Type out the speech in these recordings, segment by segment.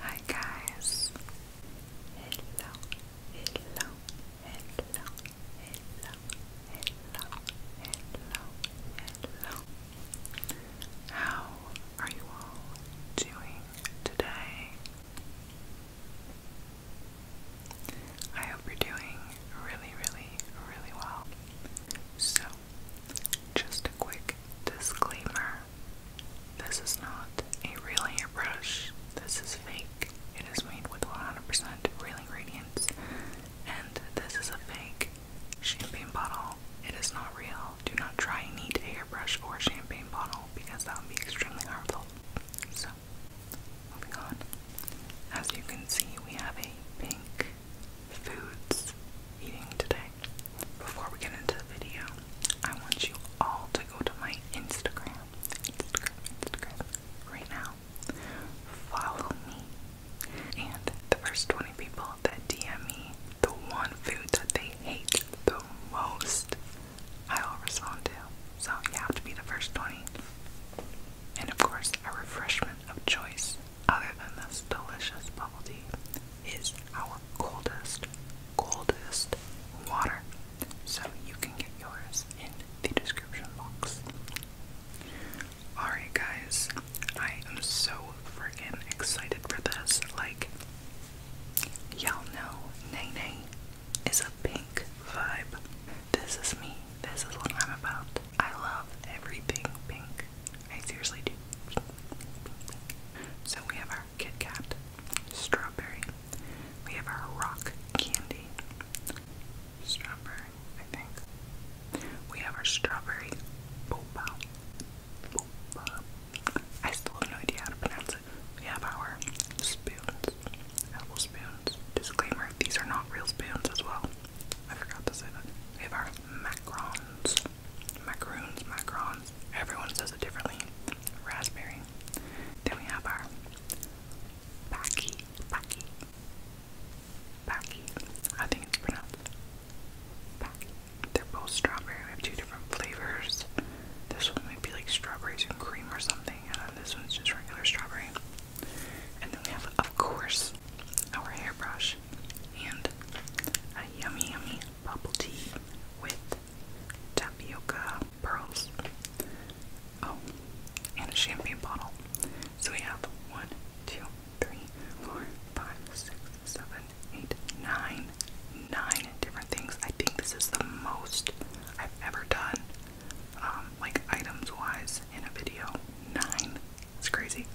Hi guys. Hello. Hello hello, hello, hello, hello, hello. How are you doing today? I hope you're doing really, really, really well. So, just a quick disclaimer this is not a real hairbrush, this is fake. It is made with 100% real ingredients, and this is a fake champagne bottle. It is not real. Do not try and eat a hairbrush or a champagne bottle because that would be extremely harmful. So, moving on. As you can see, we have a pink foods eating today. Before we get into the video, I want you all to go to my Instagram right now. Follow me. And the first 20 people that DM me the one food that they hate the most, I will respond to. So you have to be the first 20. And of course, a refreshment of choice, other than this delicious bubble tea, is our coldest, coldest water so you can get yours in the description box. Alright, guys, I am so freaking excited for this. Like, y'all know Nene is a pink vibe. This is me, this is what I'm about. I love everything pink. I seriously do. So we have our Kit Kat, strawberry, we have our rock candy. Strawberry, I think. We have our strawberry I still have no idea how to pronounce it. We have our spoons. Edible spoons. Disclaimer, these are not real spoons as well. I forgot to say that. We have our macarons. Macaroons, macarons. Everyone says it differently. Raspberry. Then we have our Baki, Baki, Baki. I think it's pronounced They're both strawberry. We have two different flavors. This one might be like strawberries and cream or something, and this one's just regular strawberry. And then we have, of course, our hairbrush and a yummy, yummy bubble tea with tapioca pearls. Oh, and a champagne bottle. So we have one, two, three, four, five, six, seven, eight, nine, nine different things. I think this is the most I've ever done, um, like items wise in a video. Nine. It's crazy.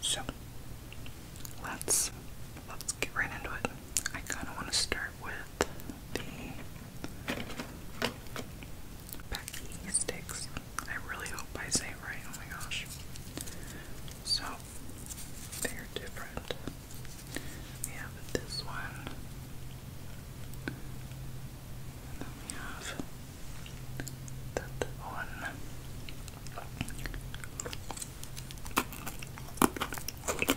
So let's let's get right into it. I kinda wanna start with the Becky Sticks. I really hope I say right. Oh my gosh. So, they're different. We have this one. And then we have that one.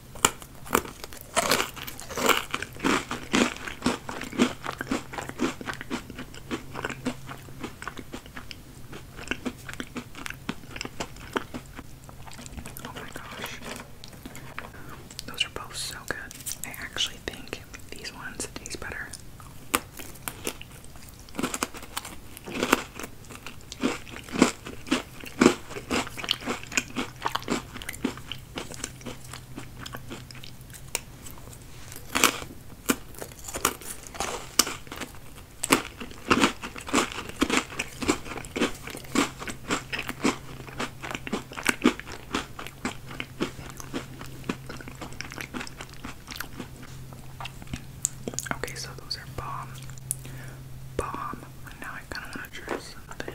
Oh my gosh. Those are both so good. I actually think these ones taste better. Okay, so those are bomb. Bomb. Now I kind of want to try something.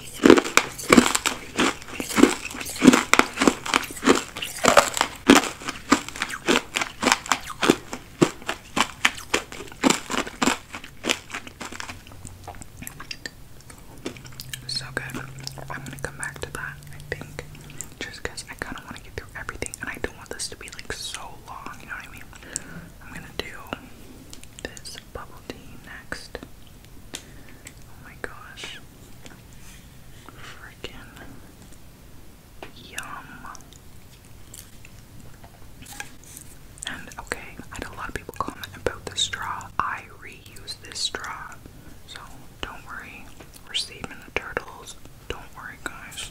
So good. I'm gonna come back to that, I think. Just I kind of want to get through everything and I don't want this to be like so long, you know what I mean? I'm gonna do this bubble tea next. Oh my gosh. Freaking yum. And okay, I had a lot of people comment about the straw. I reuse this straw. So don't worry. We're saving the turtles. Don't worry, guys.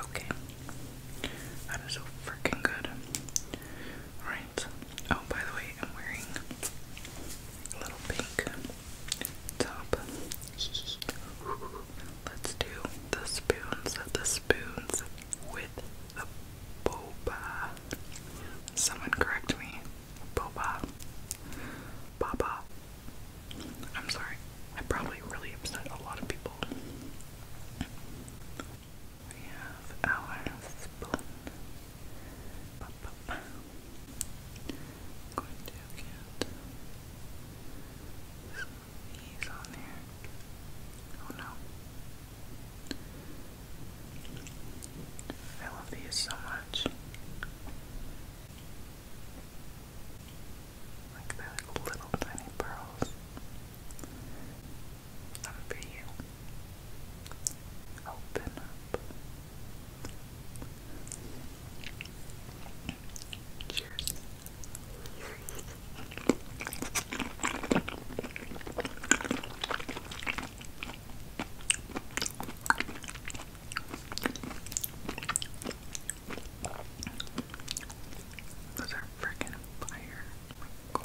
Okay. That is so freaking good. Alright. Oh, by the way, I'm wearing a little pink top. Let's do the spoons, the spoons with the boba. Someone correct me. Boba. Baba. I'm sorry. I probably really upset a lot of people. We have our spoon. Bop, I'm going to get some on there. Oh no. I love these so much. Like they're like little tiny pearls. Some for you. Open up. Those are freaking fire. Oh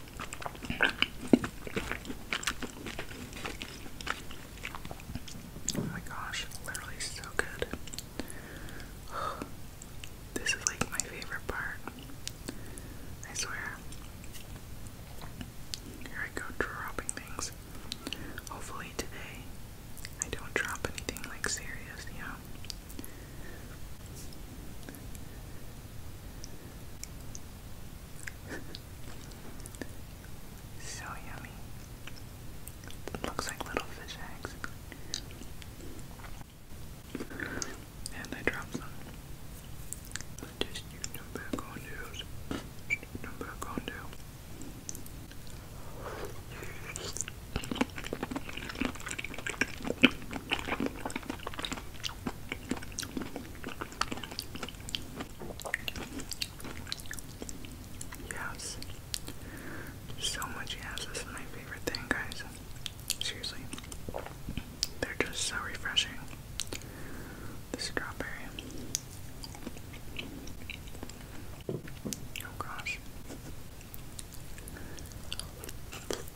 Oh my gosh, literally so good. This is like my favorite part. I swear. Here I go dropping things. Hopefully today I don't drop anything like serious, you so yummy. looks like little fish eggs. And I dropped some. Just you back on those. Them back on those. Yes. So much yes. This is my favorite thing, guys. Seriously. They're just so refreshing. The strawberry. Oh gosh.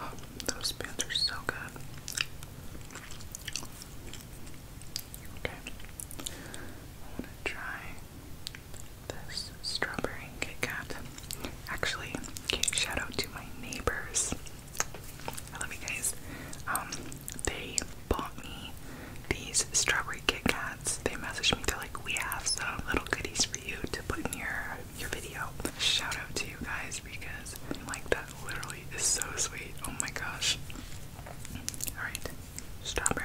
Oh, those pins are so good. Okay. I want to try this strawberry Kit Kat. Actually, shout out to my neighbors. I love you guys. Um, they bought me these strawberry Kit Kats. They messaged me. They're like, we have some little goodies for you to put in your your video. Shout out to you guys because like that literally is so sweet. Oh my gosh. Alright. Strawberry.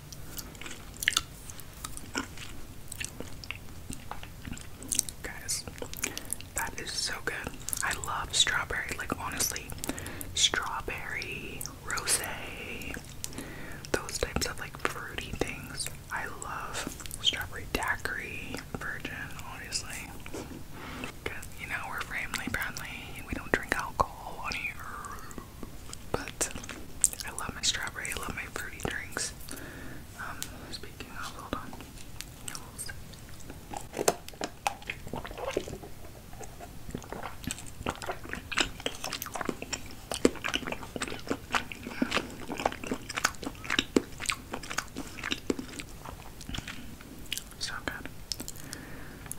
Guys, that is so good. I love strawberry, like honestly, strawberry, rose, those types of like fruity things. I love strawberry daiquiri, virgin, obviously. Cause you know we're family friendly. We don't drink alcohol on here. But I love my strawberry, I love my fruity drinks. Um, so good.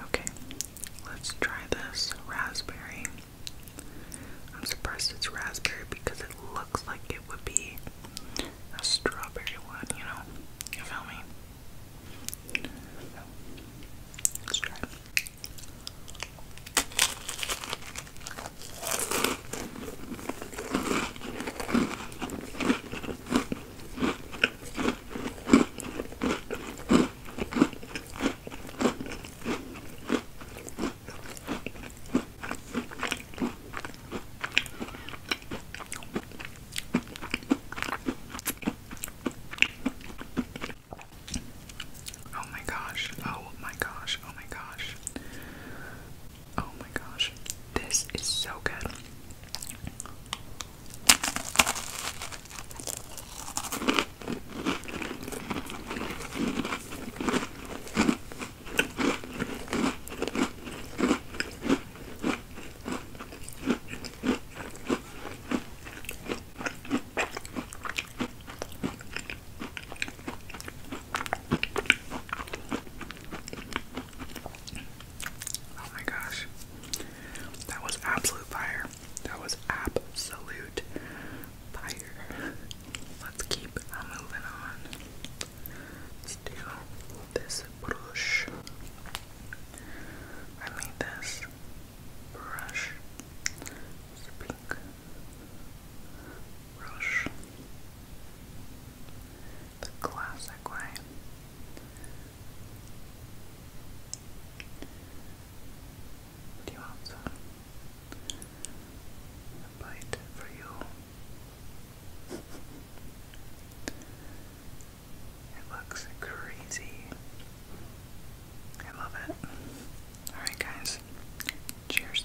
Okay, let's try this raspberry. I'm surprised it's raspberry because it looks like it would be a strawberry one, you know? You feel me? let's try Oh my gosh, oh my gosh, oh my gosh. Oh my gosh, this is so good. Oh my gosh. That was absolute fire. That was absolute Let's keep moving on. Let's do this brush. I made this brush. It's brush. The classic way. Do you want some? a bite for you. It looks crazy. I love it. Alright, guys. Cheers.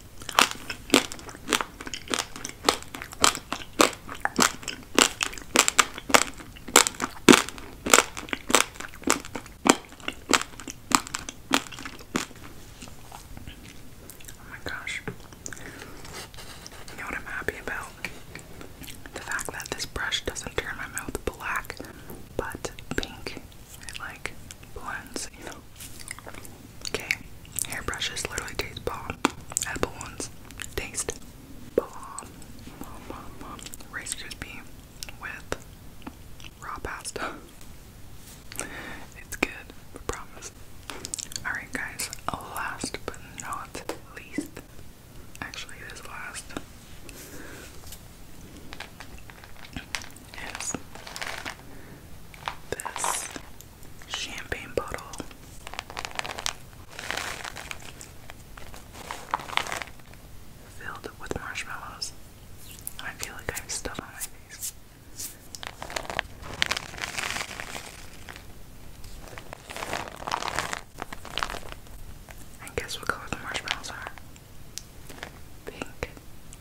Oh my gosh. You know what I'm happy about? The fact that this brush doesn't turn my mouth black, but pink. like blends, you know. Okay, hairbrushes literally taste bomb. Apple ones taste bomb. Bomb, bomb, bomb. Rice Krispie with raw pasta. It's good, I promise. Alright, guys, last but not least, actually, this last is this champagne bottle. Filled with marshmallows. I feel like I have stuff on my face. And guess what color the marshmallows Pink.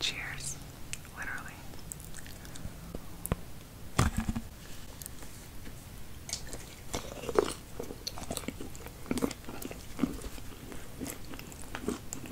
Cheers, literally.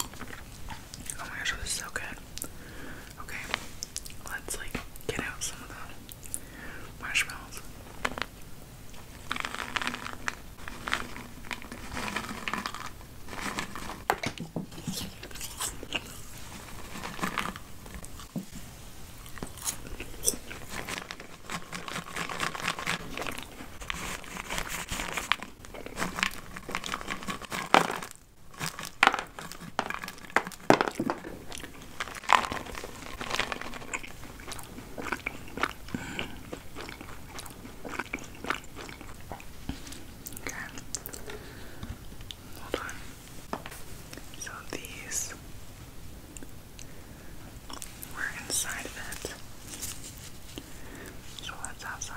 Oh my gosh, this is so good. Okay, let's like get out some of the marshmallows. Okay. Hold So these were inside of it. So let's have some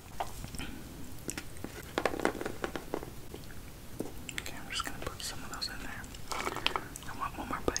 Okay, I'm just gonna put some of those in there. I want one more bite.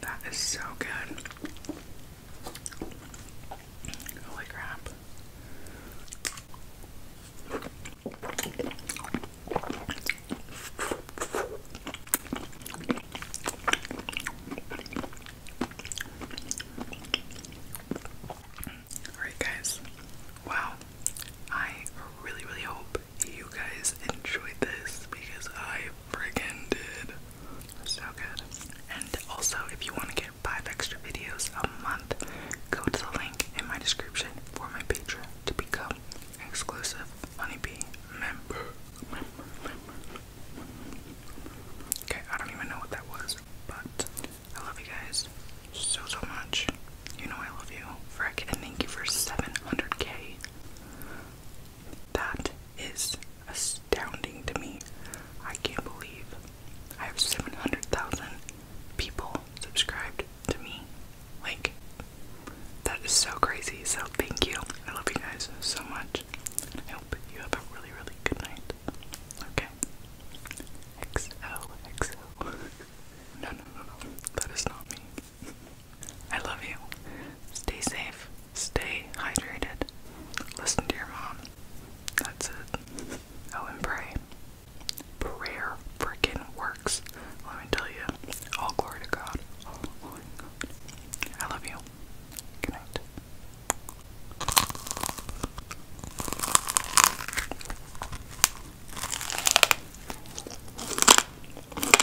That is so good. Holy crap. Alright, guys. Wow. I really, really hope you guys enjoyed this because I friggin' did. So good. And also, if you want to get five extra videos a month, go to the link in my description for my Patreon to become exclusive Honeybee member. Okay, I don't even know what that was, but I love you guys so, so much. You know I love you. Frick, thank you for 700k. That is astounding to me. I can't believe I have 700,000 people subscribed to me. Like, that is so crazy. So, thank you. I love you guys so much. I hope you have a really, really good night. Okay? XOXO. no, no, no, no. That is not me. I love you. Stay safe. Stay hydrated. Listen to your mom. That's it. Oh, and pray. Prayer freaking works. Let me tell you. All glory to God. I love you. Good night.